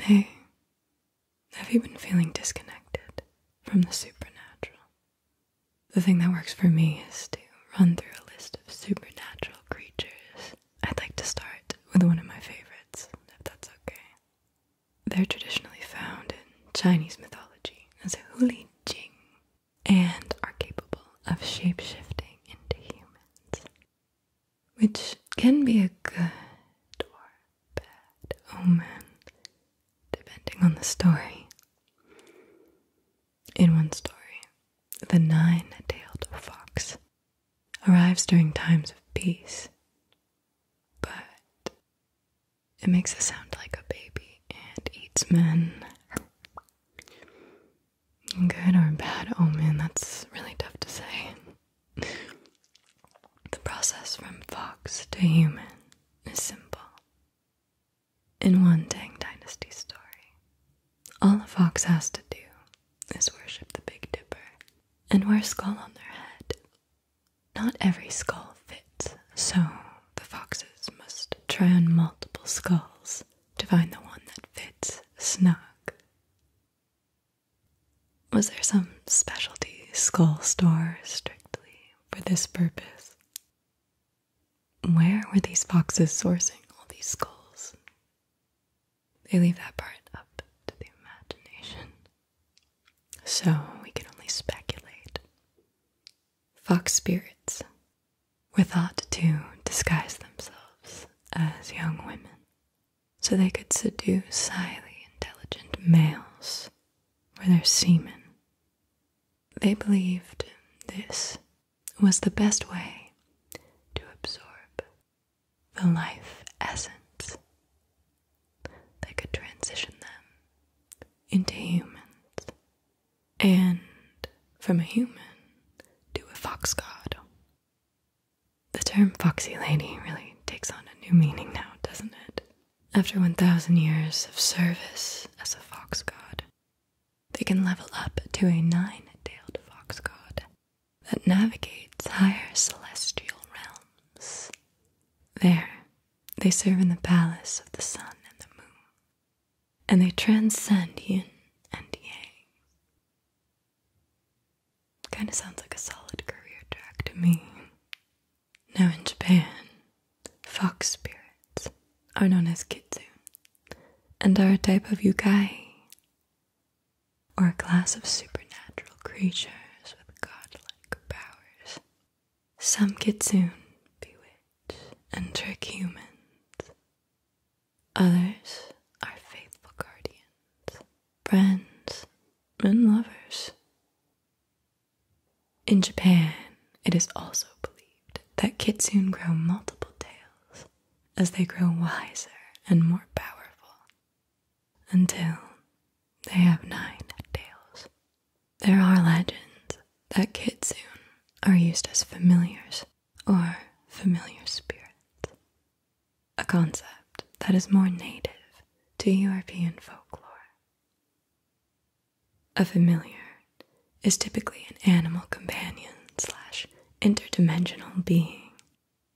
Hey, have you been feeling disconnected from the supernatural? The thing that works for me is to run through a list of supernatural creatures. I'd like to start with one of my favorites, if that's okay. They're traditionally found in Chinese mythology as Huli Jing and are capable of shape shifting into humans which can be a good or bad omen, depending on the story. In one story, the nine tailed fox arrives during times of peace, but it makes a sound like a baby and eats men. Good or bad omen, that's really tough to say the process from fox to human is simple. In one Tang Dynasty story, all a fox has to do is worship the Big Dipper and wear a skull on their head. Not every skull fits, so the foxes must try on multiple skulls to find the one that fits snug. Was there some specialty skull store strictly for this purpose? Where were these foxes sourcing all these skulls? They leave that part up to the imagination. So we can only speculate. Fox spirits were thought to disguise themselves as young women so they could seduce highly intelligent males with their semen. They believed this was the best way to absorb the life essence that could transition them into humans and from a human to a fox god. The term foxy lady really takes on a new meaning now, doesn't it? After 1,000 years of service as a fox god, they can level up to a nine tailed fox god that navigates higher celestial realms. There, they serve in the palace of the sun and the moon, and they transcend yin and yang. Kind of sounds like a solid career track to me. Now in Japan, fox spirits are known as kitsune and are a type of yukai or a class of supernatural creatures with godlike powers. Some kitsune bewitch and trick humans. Others are faithful guardians friends, and lovers. In Japan, it is also believed that kitsune grow multiple tails as they grow wiser and more powerful until they have nine tails. There are legends that kitsune are used as familiars or familiar spirits a concept that is more native to European folklore. A familiar is typically an animal companion slash interdimensional being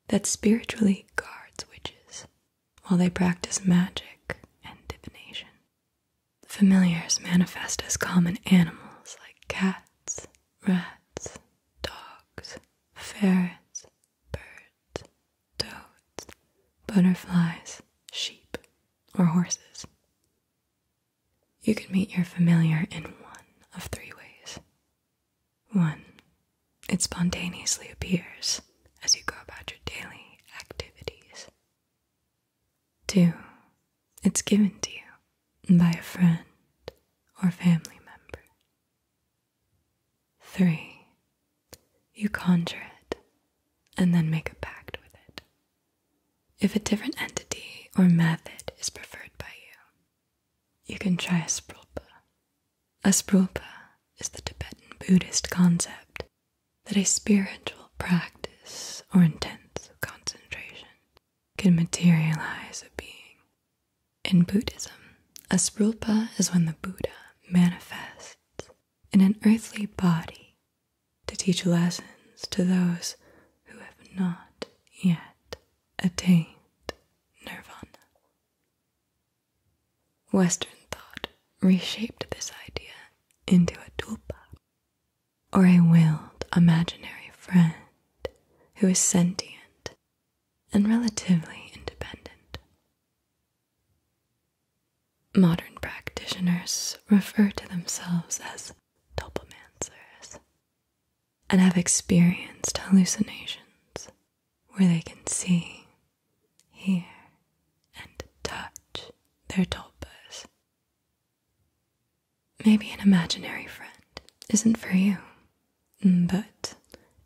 that spiritually guards witches while they practice magic and divination. Familiars manifest as common animals like cats, rats, dogs, ferrets, birds, toads, butterflies, sheep, or horses. You can meet your familiar in one of three ways. One, it spontaneously appears as you go about your daily activities. Two, it's given to you by a friend or family member. Three, you conjure it and then make a pact with it. If a different entity or method is preferred by you, you can try a sprulpa. is the Tibetan Buddhist concept that a spiritual practice or intense concentration can materialize a being in Buddhism, a rupa is when the Buddha manifests in an earthly body to teach lessons to those who have not yet attained nirvana. Western thought reshaped this idea into a tulpa, or a willed imaginary friend who is sentient and relatively independent. Modern practitioners refer to themselves as topomancers and have experienced hallucinations where they can see, hear, and touch their tulpas. Maybe an imaginary friend isn't for you, but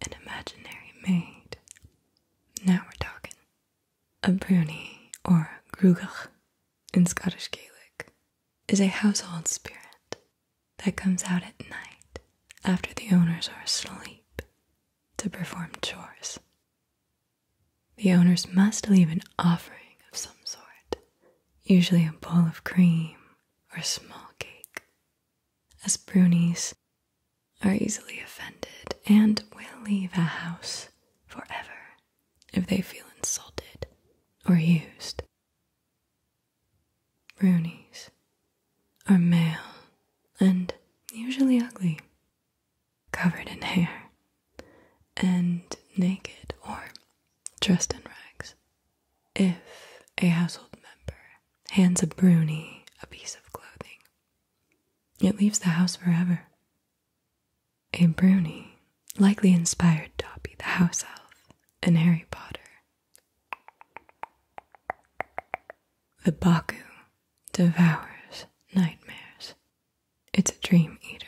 an imaginary maid. Now we're talking. A bruni or grugach in Scottish Gaelic is a household spirit that comes out at night after the owners are asleep to perform chores. The owners must leave an offering of some sort, usually a bowl of cream or a small cake as brunies are easily offended and will leave a house forever if they feel insulted or used. Brunies are male and usually ugly, covered in hair, and naked or dressed in rags. If a household member hands a broonie a piece of clothing, it leaves the house forever. A broonie likely inspired Dobby the house elf in Harry Potter. The Baku devours nightmares. It's a dream eater.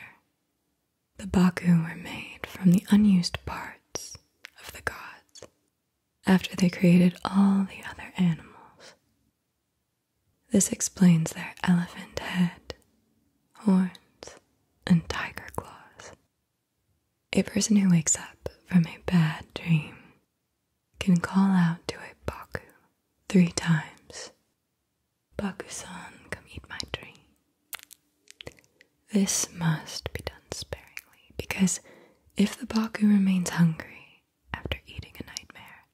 The Baku were made from the unused parts of the gods after they created all the other animals. This explains their elephant head, horns, and tiger claws. A person who wakes up from a bad dream can call out to a Baku three times Baku san, come eat my dream. This must be done sparingly, because if the Baku remains hungry after eating a nightmare,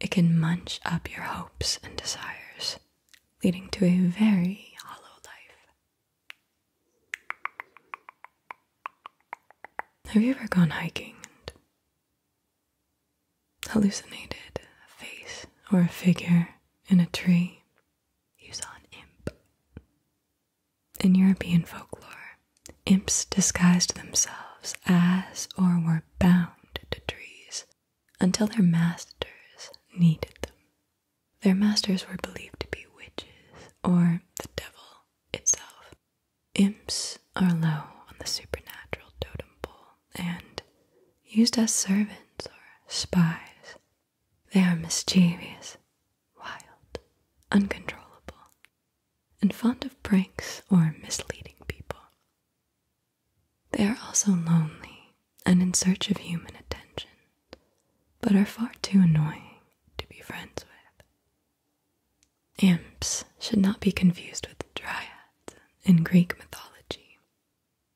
it can munch up your hopes and desires, leading to a very hollow life. Have you ever gone hiking and hallucinated a face or a figure in a tree? You saw an imp. In European folklore, imps disguised themselves as or were bound to trees until their masters needed them. Their masters were believed to be witches or the devil itself. Imps are low on the supernatural totem pole and used as servants or spies they are mischievous, wild, uncontrollable, and fond of pranks or misleading people. They are also lonely and in search of human attention, but are far too annoying to be friends with. Imps should not be confused with dryads in Greek mythology.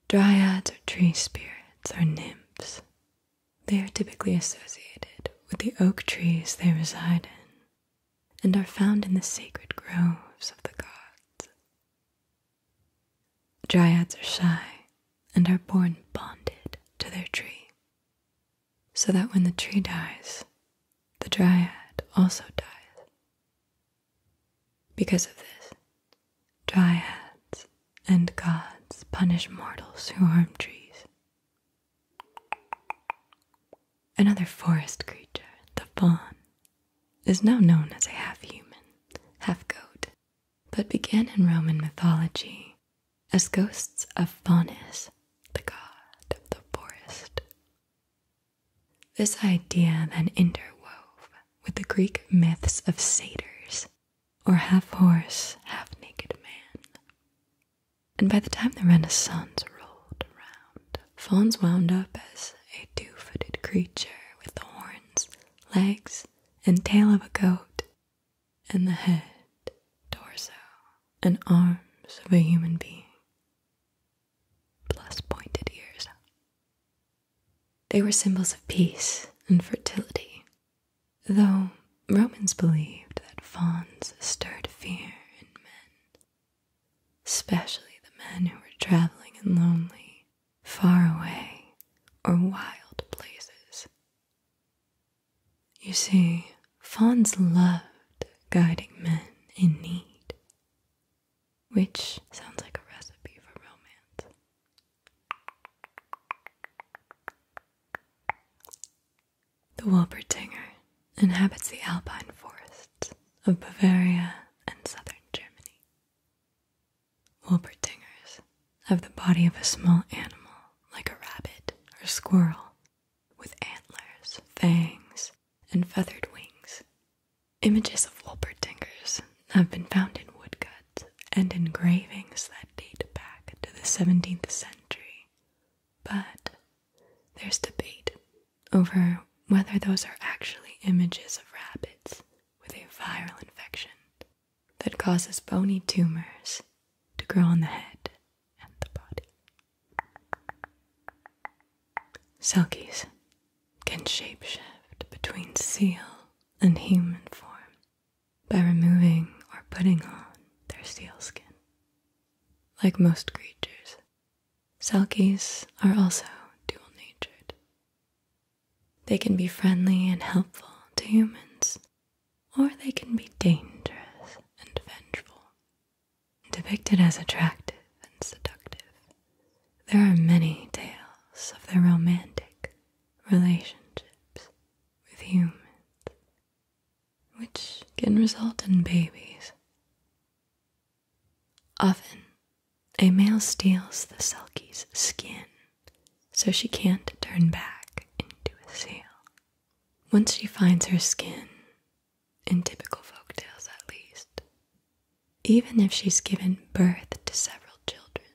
Dryads are tree spirits or nymphs they are typically associated with the oak trees they reside in and are found in the sacred groves of the gods. Dryads are shy and are born bonded to their tree, so that when the tree dies, the dryad also dies. Because of this, dryads and gods punish mortals who harm trees. Another forest creature, the faun, is now known as a half human, half goat, but began in Roman mythology as ghosts of Faunus, the god of the forest. This idea then interwove with the Greek myths of satyrs or half horse, half naked man. And by the time the Renaissance rolled around, Fawns wound up as a two footed creature with the horns, legs, and tail of a goat, and the head, torso, and arms of a human being, plus pointed ears. They were symbols of peace and fertility, though Romans believed that fauns stirred fear in men, especially the men who were traveling in lonely, far away, or wild places. You see, fauns loved guiding men in need, which sounds like a recipe for romance. The Wolpertinger inhabits the alpine forests of Bavaria and southern Germany. Wolpertingers have the body of a small animal like a rabbit or squirrel, with antlers, fangs, and feathered wings. Images of Wolpertingers have been found in woodcuts and engravings that date back to the 17th century, but there's debate over whether those are actually images of rabbits with a viral infection that causes bony tumors to grow on the head and the body. Selkies can shapeshift between seal and human form by removing or putting on their seal skin. Like most creatures, Selkies are also dual natured. They can be friendly and helpful to humans, or they can be dangerous and vengeful. Depicted as attractive and seductive, there are many tales of their romantic relationships with humans, which can result in babies. Often, a male steals the Selkie's skin so she can't turn back into a seal. Once she finds her skin, in typical folk tales at least, even if she's given birth to several children,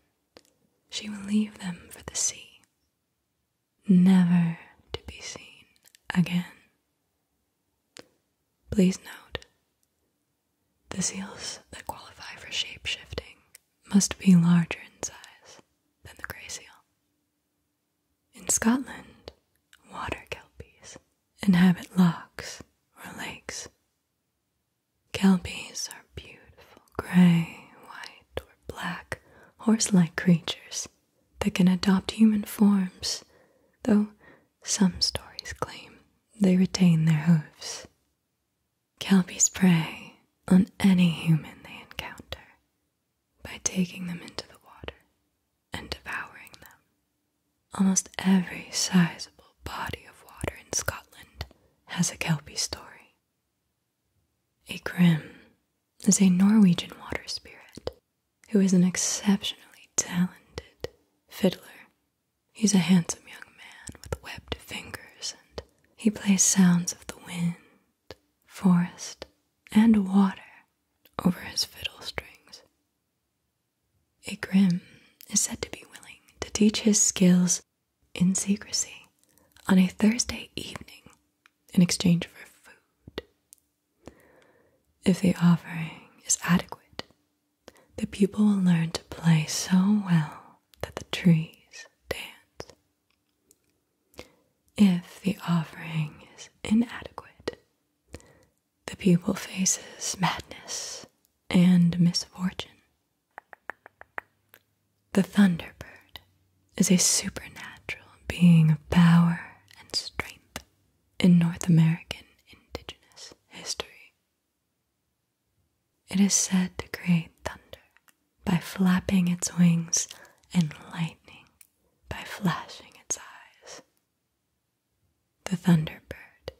she will leave them for the sea never to be seen again. Please note the seals that qualify for shapeshifting must be larger in size than the grey seal. In Scotland, water kelpies inhabit lochs or lakes. Kelpies are beautiful gray, white, or black horse like creatures that can adopt human forms, though some stories claim they retain their hooves. Kelpies prey on any human they encounter by taking them into the water and devouring them. Almost every sizable body of water in Scotland has a Kelpie story. Ikrim is a Norwegian water spirit who is an exceptionally talented fiddler. He's a handsome young man with webbed fingers, and he plays sounds of the wind, forest, and water over his fiddle strings. Ikrim is said to be willing to teach his skills in secrecy on a Thursday evening in exchange for food. If the offering is adequate, the pupil will learn to play so well that the trees dance. If the offering is inadequate, the pupil faces madness and misfortune the Thunderbird is a supernatural being of power and strength in North American indigenous history. It is said to create thunder by flapping its wings and lightning by flashing its eyes. The Thunderbird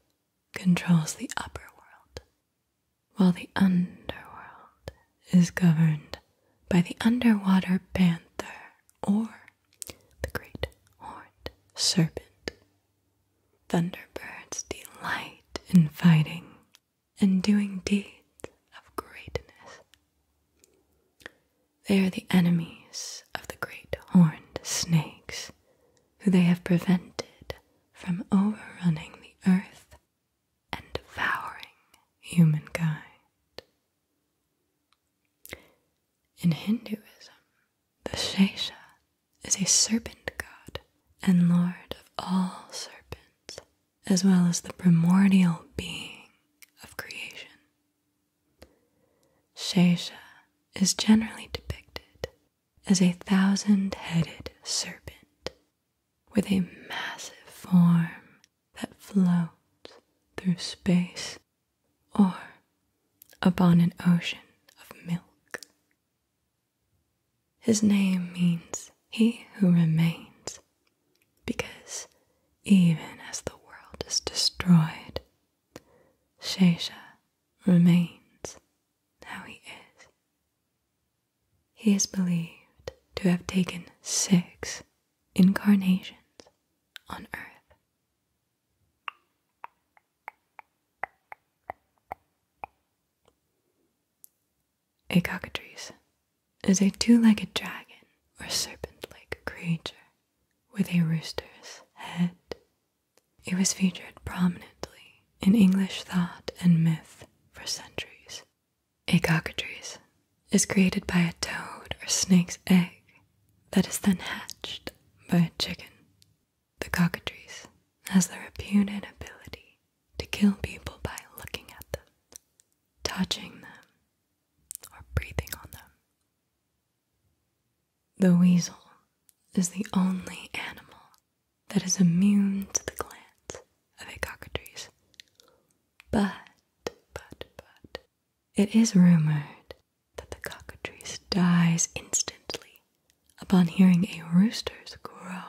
controls the upper world while the underworld is governed by the underwater panther or the great horned serpent. Thunderbirds delight in fighting and doing deeds of greatness. They are the enemies of the great horned snakes, who they have prevented from overrunning the earth and devouring humankind. In Hinduism, the Shesha is a serpent god and lord of all serpents, as well as the primordial being of creation. Shesha is generally depicted as a thousand headed serpent with a massive form that floats through space or upon an ocean of milk. His name means he who remains, because even as the world is destroyed, Shesha remains Now he is. He is believed to have taken six incarnations on Earth. A cockatrice is a two legged dragon or serpent like creature with a rooster's head. It was featured prominently in English thought and myth for centuries. A cockatrice is created by a toad or snake's egg that is then hatched by a chicken. The cockatrice has the reputed ability to kill people by looking at them, touching them, or breathing on them. The weasel is the only animal that is immune to the glance of a cockatrice. But, but, but, it is rumored that the cockatrice dies instantly upon hearing a rooster's crow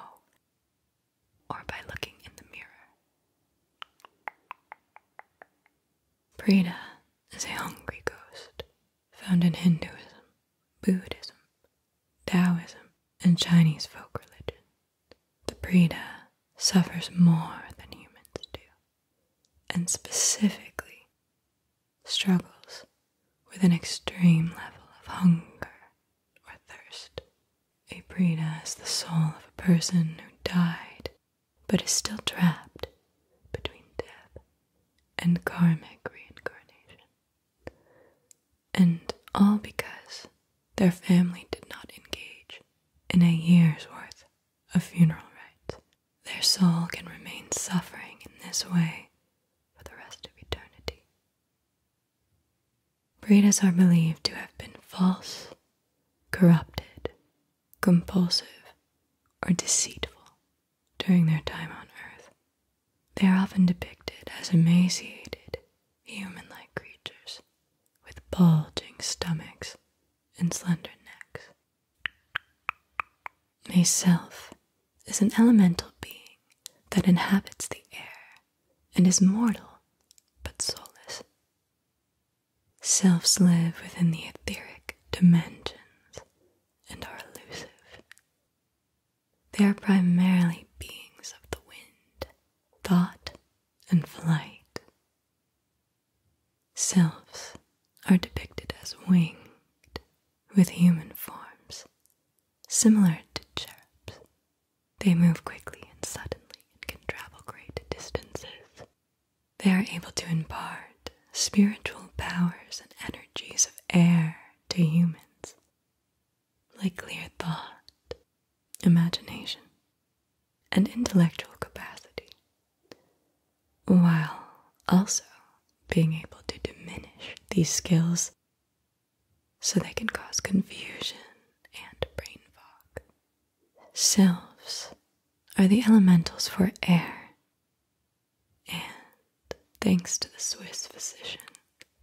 or by looking in the mirror. Prita is a hungry ghost found in Hinduism, Buddhism, Taoism, and Chinese folk religion, the Brita suffers more than humans do, and specifically struggles with an extreme level of hunger or thirst. A Brita is the soul of a person who died but is still trapped between death and karmic reincarnation and all because their family did not engage in a year's worth of funeral rites. Their soul can remain suffering in this way for the rest of eternity. Breeders are believed to have been false, corrupted, compulsive, or deceitful during their time on earth. They are often depicted as emaciated, human like creatures with bulging stomachs and slender necks. A self is an elemental being that inhabits the air and is mortal but soulless. Selves live within the etheric dimensions and are elusive. They are primarily beings of the wind, thought, and flight. Selves are depicted as winged, with human forms, similar to cherubs. They move quickly and suddenly and can travel great distances. They are able to impart spiritual powers and energies of air to humans, like clear thought, imagination, and intellectual capacity, while also being able to diminish these skills so they can cause confusion and brain fog. Selves are the elementals for air, and thanks to the Swiss physician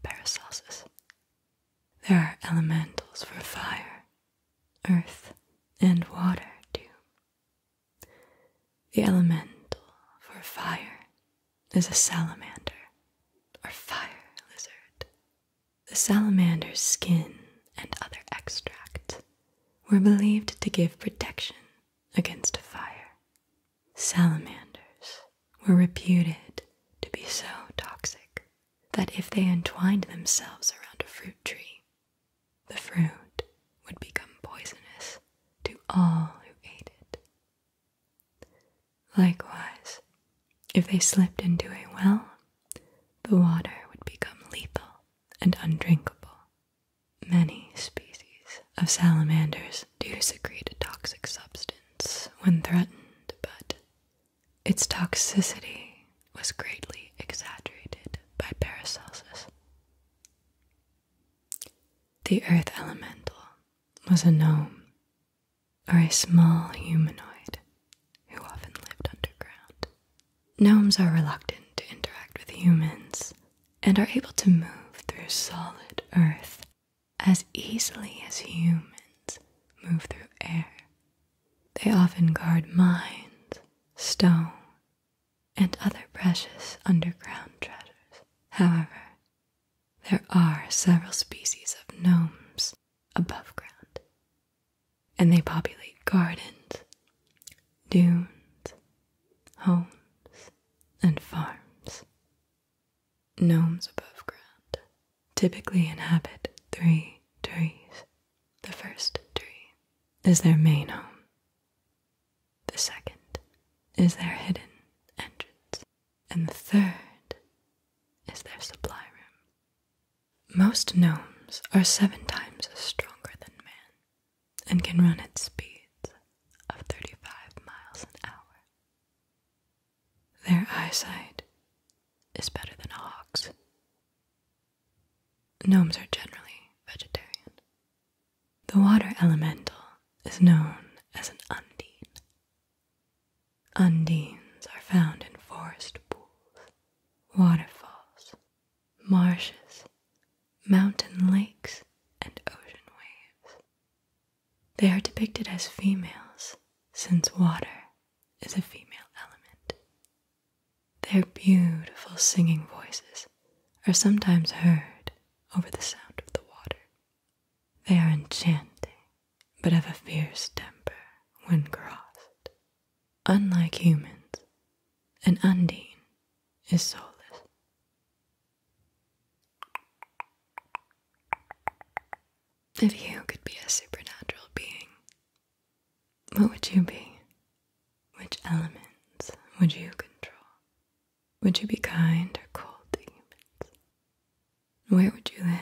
Paracelsus, there are elementals for fire, earth, and water, too. The elemental for fire is a salamander or fire lizard. The salamander's skin and other extract were believed to give protection against fire Salamanders were reputed to be so toxic that if they entwined themselves around a fruit tree, the fruit would become poisonous to all who ate it. Likewise, if they slipped into a well, the water would become lethal and undrinkable. Many species of salamanders do secrete a toxic substance when threatened, but its toxicity was greatly exaggerated by Paracelsus. The earth elemental was a gnome, or a small humanoid, who often lived underground. Gnomes are reluctant to interact with humans and are able to move through solid earth as easily as humans move through air. They often guard mines, stone, and other precious underground treasures. However, there are several species of gnomes above ground, and they populate gardens, dunes, homes, and farms. Gnomes above ground typically inhabit three trees. The first tree is their main home, the second is their hidden entrance, and the third is their supply room. Most gnomes are seven times stronger than man and can run at speeds of 35 miles an hour. Their eyesight is better than a hawk's. Gnomes are generally vegetarian. The water elemental is known as an undine. Undines are found in forest pools, waterfalls, marshes, mountain lakes, and ocean waves. They are depicted as females, since water is a female element. Their beautiful singing voices are sometimes heard over the sound of the water. They are enchanting, but have a fierce temper when crossed. Unlike humans, an undine is soulless. If you could be a supernatural being, what would you be? Which elements would you control? Would you be kind or cold to humans? Where would you live?